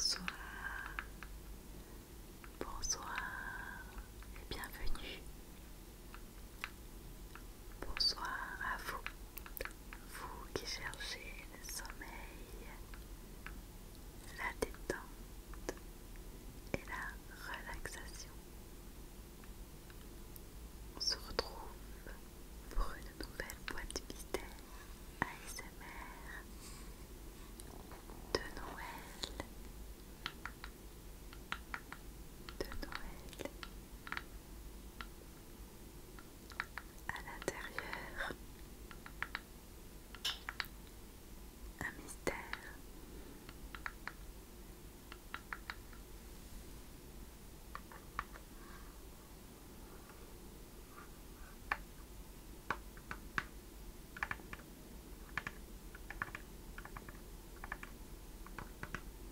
Bonsoir, bonsoir et bienvenue Bonsoir à vous, vous qui cherchez le sommeil, la détente et la relaxation. On se retrouve pour une nouvelle boîte mystère ASMR de Noël. De Noël à l'intérieur un mystère.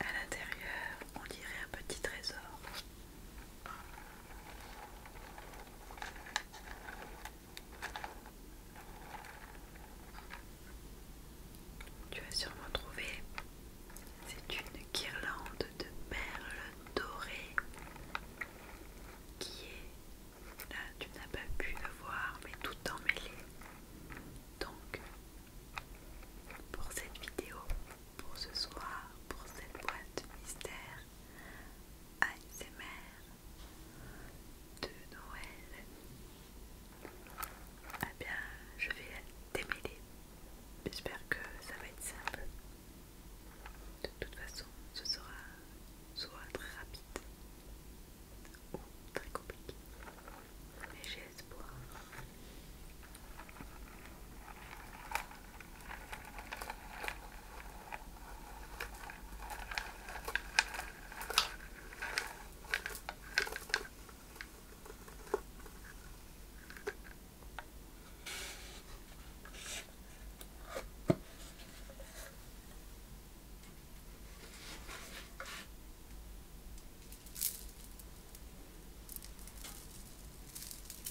À l'intérieur, on dirait un petit trésor. Tu as sûrement trouvé. C'est une guirlande de perles dorées qui est là, tu n'as pas pu le voir, mais tout emmêlé. Donc, pour cette vidéo, pour ce soir, pour cette boîte mystère, ASMR, de Noël, et eh bien je vais démêler. J'espère que ça va être simple. De toute façon, ce sera soit très rapide ou très compliqué. Mais j'ai espoir.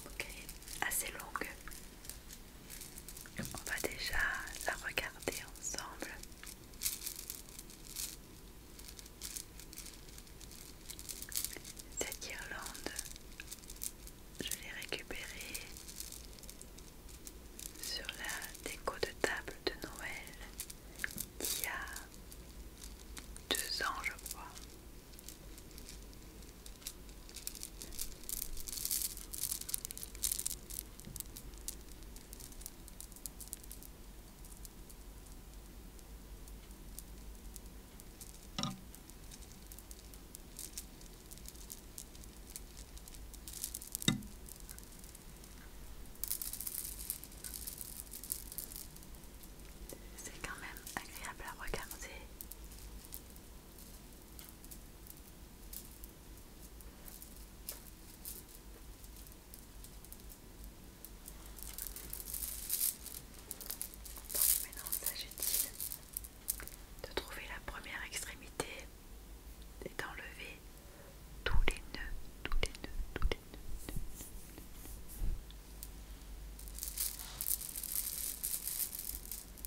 Ok, assez longue. On va déjà la regarder ensemble. Cette Irlande, je l'ai récupérée sur la déco de table de Noël il y a deux ans, je crois. C'est quand même agréable à regarder donc maintenant il de trouver la première extrémité et d'enlever tous les nœuds, tous les nœuds, tous les nœuds.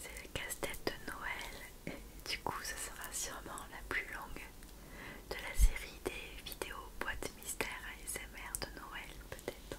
C'est le casse-tête de Noël et du coup ce sera sûrement la plus longue de la série des vidéos boîte mystère ASMR de Noël peut-être.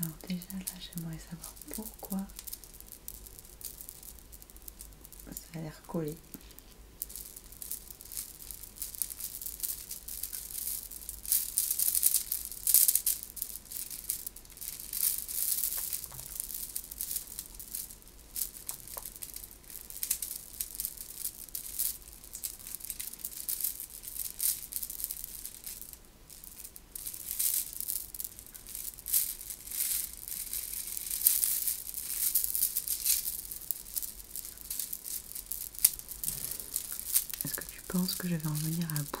Alors déjà là j'aimerais savoir pourquoi ça a l'air collé. Est-ce que tu penses que je vais en venir à bout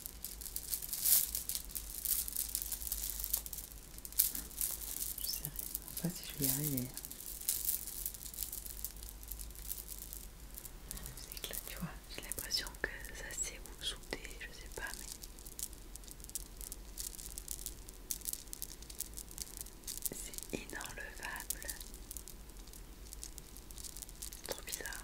Je sais vraiment pas si je vais y arriver. C'est que là, tu vois, j'ai l'impression que ça s'est ou je sais pas, mais. C'est inenlevable. Trop bizarre.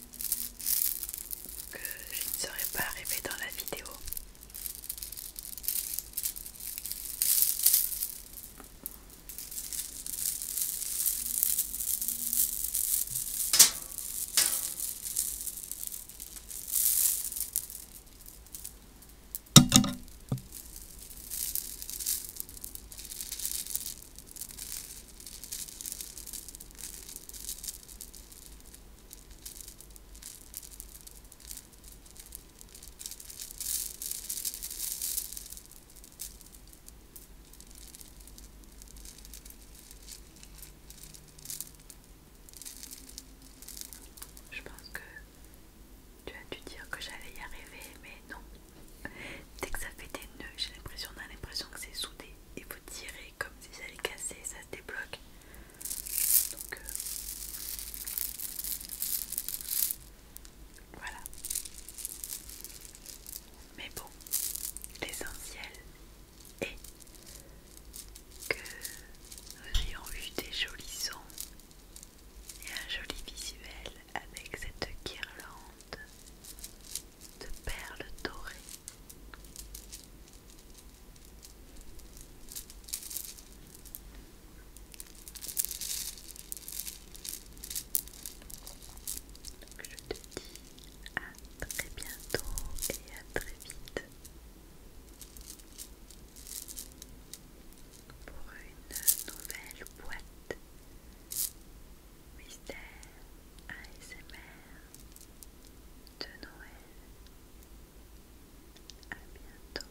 que je ne serais pas arrivée dans la vidéo. Je pense que tu as dû dire que j'allais y arriver, mais non, Dès que ça fait des nœuds, j'ai l'impression, on l'impression que c'est soudé. Et vous tirez comme si ça allait casser, ça se débloque. Donc euh, voilà. Mais bon, l'essentiel est que nous ayons eu des jolis sons et un joli visuel avec cette guirlande de perles dorées. je te dis à très bientôt et à très vite pour une nouvelle boîte Mystère ASMR de Noël. À bientôt.